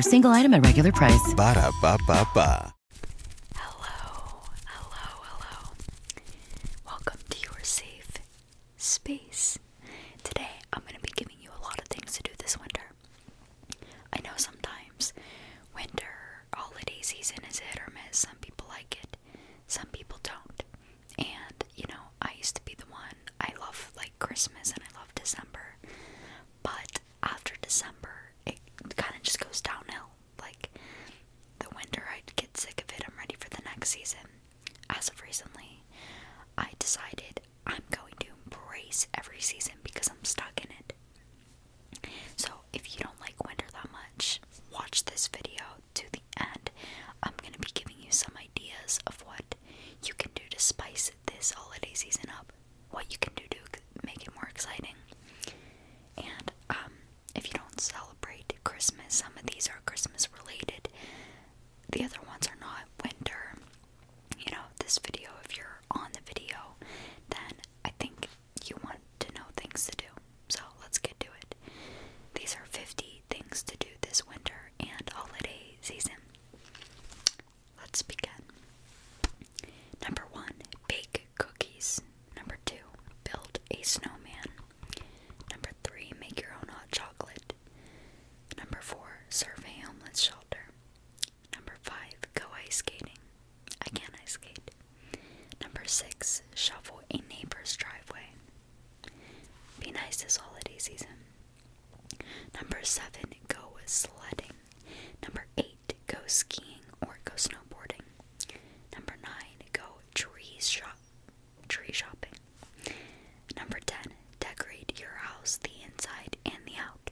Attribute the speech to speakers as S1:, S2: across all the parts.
S1: single item at regular price. Ba da ba ba ba. Hello, hello, hello. Welcome to your safe space. Today, I'm going to be giving you a lot of things to do this winter. I know sometimes winter holiday season is hit or miss. Some people like it, some people don't. And, you know, I used to be the one I love like Christmas and I love December. But after December, it kind of just goes downhill. Like the winter, I get sick of it. I'm ready for the next season. As of recently, I decided I'm going to embrace every season because I'm stuck in it. So, if you don't like winter that much, watch this video to the end. I'm going to be giving you some ideas of what you can do to spice this holiday season up, what you can do to make it more exciting. And um, if you don't celebrate Christmas, some of these are Christmas related, the other ones are not. Winter, you know, this video, if you're on the video, then I think you want to know things to do. So let's get to it. These are 50 things to do this winter and holiday season. Let's begin. Number one, bake cookies. Number two, build a snowman. Number three, make your own hot chocolate. Number four, serve a homeless shelter. Number five, go ice skating. I can ice skate. Number six, shovel a neighbor's driveway. Be nice this holiday season. Number seven, go sledding. Number eight, go skiing or go snowboarding. Number nine, go tree shop tree shopping. Number ten, decorate your house, the inside and the out.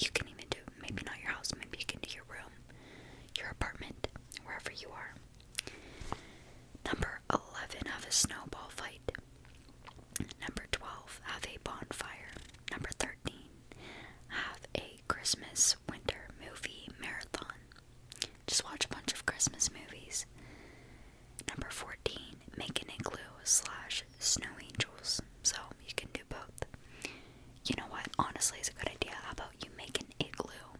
S1: You can even do maybe not your house, maybe you can do your room, your apartment, wherever you are. Number eleven, have a snowball fight. Number 12, have a bonfire. Number 13, have a Christmas winter movie marathon. Just watch a bunch of Christmas movies. Number 14, make an igloo slash snow angels. So you can do both. You know what? Honestly, it's a good idea. How about you make an igloo?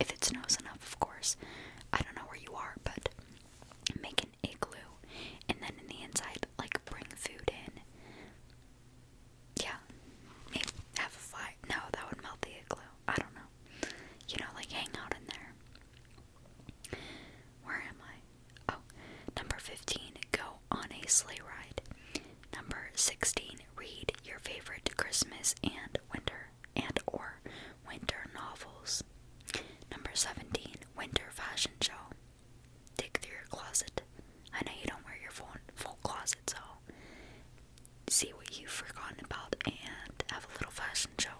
S1: If it snows enough, of course. I don't know where you are, but make an igloo and then in the inside like bring food in. Yeah. have a No, that would melt the igloo. I don't know. You know, like hang out in there. Where am I? Oh, number 15, go on a sleigh ride. Number 16, read your favorite Christmas and winter and or winter novels. Number 17, Winter fashion show. Dig through your closet. I know you don't wear your full, full closet, so see what you've forgotten about and have a little fashion show.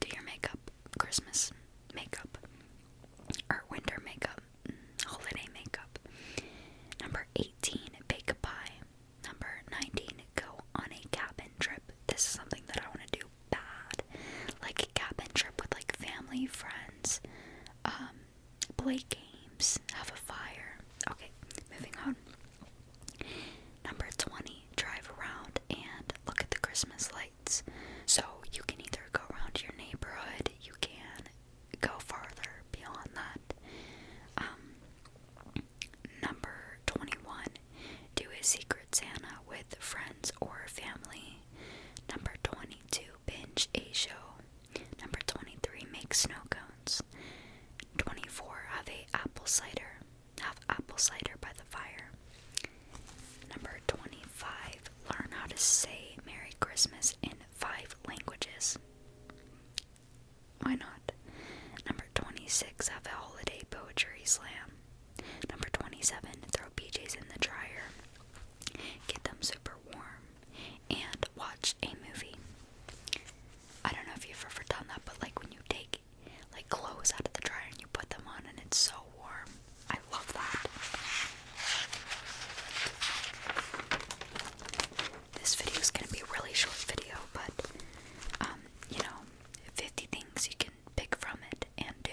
S1: Do your makeup, Christmas makeup, or winter makeup, mm, holiday makeup. Number 18, bake a pie. Number 19, go on a cabin trip. This is something that I want to do bad. Like cabin trip with like family, friends, um, play games, have a fire. Okay, moving on. Number 20, drive around and look at the Christmas lights. So you can either go around your neighborhood, you can go farther beyond that. Um, number 21, do a secret Santa with friends or family. Number 22. Binge a show. Number 23. Make snow cones. 24. Have a apple cider. Have apple cider by the fire. Number 25. Learn how to say Merry Christmas in five languages. Why not? Number 26. Have a holiday poetry slam. Number 27. Throw PJs in the dryer. Get them super warm. And watch a movie. I don't know if you've ever done that, but like when you take like clothes out of the dryer and you put them on and it's so warm. I love that. This video is going to be a really short video, but um, you know, 50 things you can pick from it and do.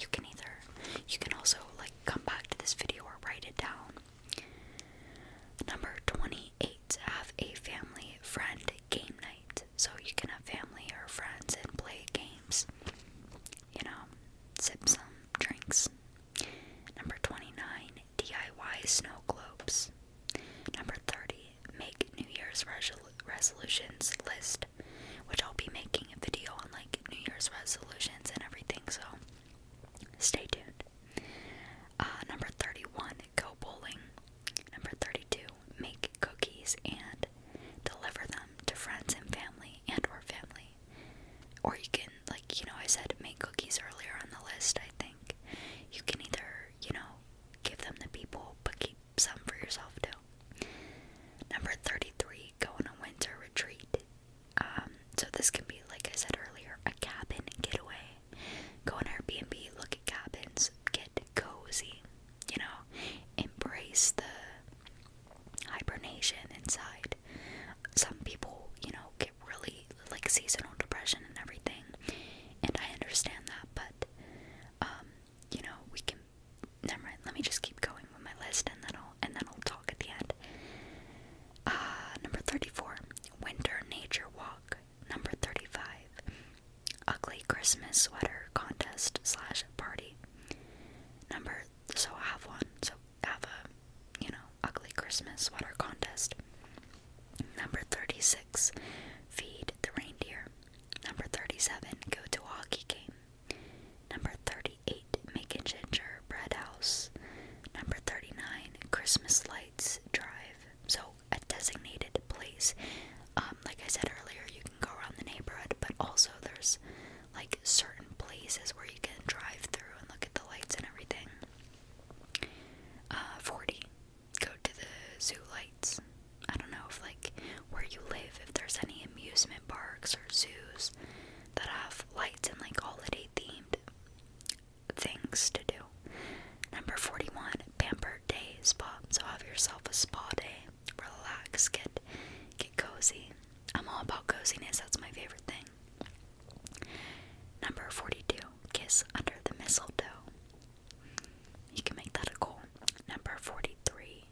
S1: You can either, you can also like come back to this video or write it down. Number 28, have a family friend game night. So you can have family or friends and play games, you know, sip some drinks. Number 29, DIY snow globes. Number 30, make New Year's resolutions list which I'll be making a video on like New Year's resolutions and everything, so stay tuned. Uh, number 31, go bowling. Number 32, make cookies and deliver them to friends and family and or family. Or you can, like, you know, I said make cookies earlier on the list, I think. You can either, you know, give them to people, but keep some for yourself too. Number 33, go on a winter retreat. Um, so this can be, like I said earlier, a cabin getaway. Go on Airbnb, look at cabins, get cozy, you know, embrace the hibernation inside. Some people, you know, get really like seasonal depression and everything, and I understand that, but um, you know, we can never Let me just keep going with my list, and then I'll and then I'll talk at the end. Uh, number thirty-four, winter nature walk. Number thirty-five, ugly Christmas sweater contest slash party. Number so have one. So have a you know ugly Christmas sweater contest. Number thirty-six, feed the reindeer. Number 37, go to a hockey game. Number 38, make a ginger house. Number 39, Christmas lights drive. So, a designated place. Um, like I said earlier, you can go around the neighborhood, but also there's like certain places where you can drive through and look at the lights and everything. Uh, 40, go to the zoo lights. I don't know if like where you live, if there's any amusement parks or zoos that have lights and like holiday themed things to do. Number 41, pamper Day Spa. So have yourself a spa day. Relax, get get cozy. I'm all about coziness, that's my favorite thing. Number 42, Kiss Under the Mistletoe. You can make that a goal. Number 43.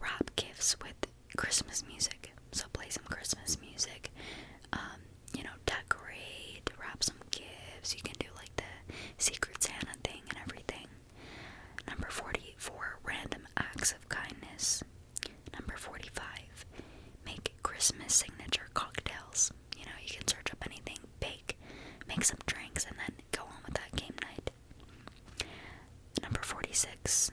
S1: Wrap gifts with Christmas music. So play some Christmas music. Um, you know, decorate, wrap some gifts. You can do like the Secret Santa thing and everything. Number 44. Random acts of kindness. Number 45. Make Christmas signature cocktails. You know, you can search up anything, bake, make some drinks, and then go on with that game night. Number 46.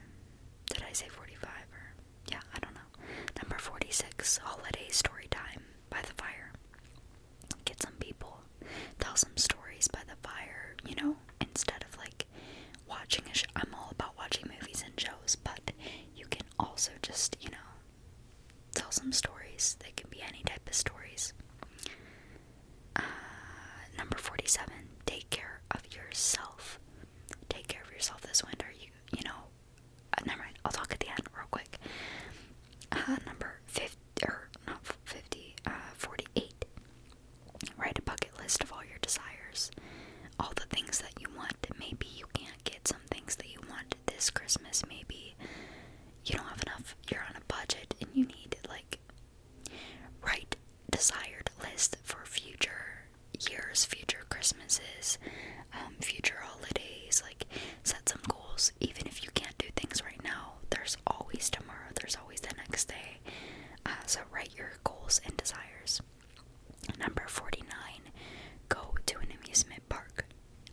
S1: Did I say 45 or yeah, I don't know. Number 46, holiday story time by the fire. Get some people, tell some stories by the fire, you know, instead of like watching a I'm all about watching movies and shows, but you can also just, you know, tell some stories. They can be any type of stories. Uh, number 47, take care of yourself. Take care of yourself this winter. You, you know, uh, I'll talk at the end real quick. Uh, number 50, or not 50, uh, 48. Write a bucket list of all your desires, all the things that you want. Maybe you can't get some things that you want this Christmas. Maybe you don't have enough, you're on a budget and you need like Write desired list for future years, future Christmases, um, future holidays. Like, set some goals. Even if you can't do things right now, there's always tomorrow, there's always the next day. Uh, so, write your goals and desires. Number 49 Go to an amusement park.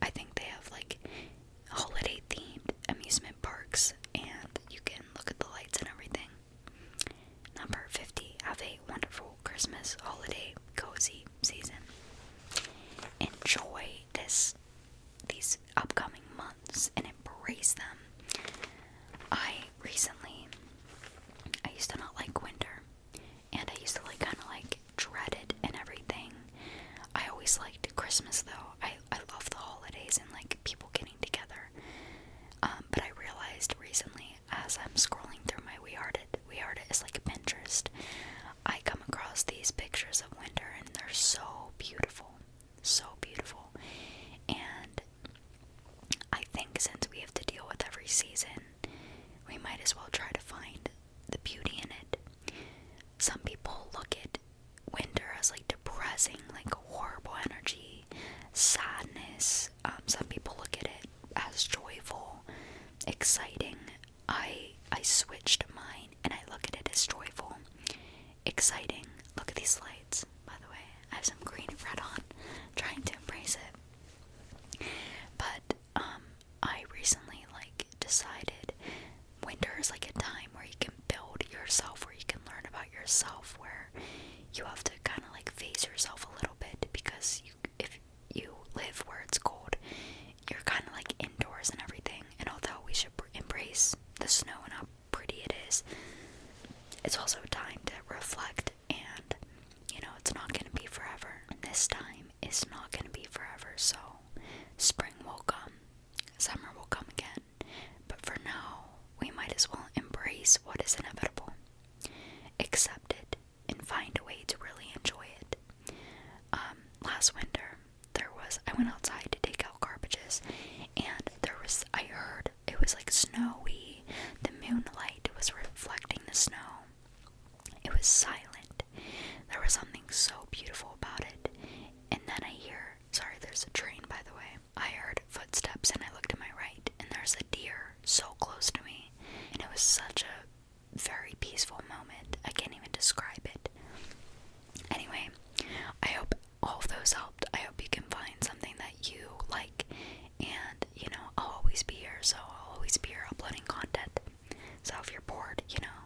S1: I think they have like holiday themed amusement parks and you can look at the lights and everything. Number 50. Have a wonderful Christmas holiday cozy season. Enjoy this these upcoming months and embrace them. I recently I used to not like winter and I used to like kind of like dread it and everything. I always liked Christmas though. I I love the holidays and like people getting together. Um, but I realized recently as I'm scrolling through my We Art It, We Art It is like Pinterest. I come across these pictures of winter and they're so beautiful, so beautiful. And I think since we have to deal with every season, we might as well try to find the beauty in it some people look at winter as like depressing, like horrible energy, sadness. Um, some people look at it as joyful, exciting. I I switched mine and I look at it as joyful, exciting. Look at these lights, by the way. I have some green and red on, trying to embrace it. But um, I recently like decided winter is like a time where you can build yourself, where you can learn about yourself, where you have to kind of like phase yourself a little bit because if you live where it's cold, you're kind of like indoors and everything. And although we should embrace the snow and how pretty it is, it's also a time to reflect and you know it's not going to be forever. this time is not going to be forever, so spring will come, summer will come again. But for now, we might as well embrace what is inevitable, accept it, and find a way to really enjoy it. Um, last winter, there was I went outside to take out garbages, and there was I heard it was like snowy. The moonlight was reflecting the snow. It was silent. There was something so beautiful about it. And then I hear Sorry, there's a train, by the way. I heard footsteps and I looked to my right, and there's a deer so close to me. And it was such a very peaceful moment. I can't even describe it. Anyway, I hope all of those helped. I hope you can find something that you like. And, you know, I'll always be here, so I'll always be uploading content. So if you're bored, you know,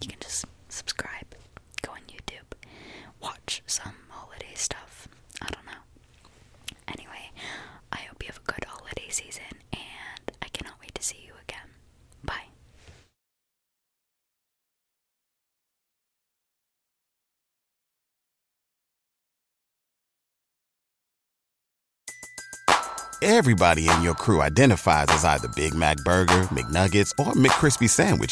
S1: you can just subscribe go on YouTube, watch some holiday stuff. I don't know. Anyway, I hope you have a good holiday season and I cannot wait to see you again. Bye. Everybody in your crew identifies as either Big Mac burger, McNuggets, or McCrispy sandwich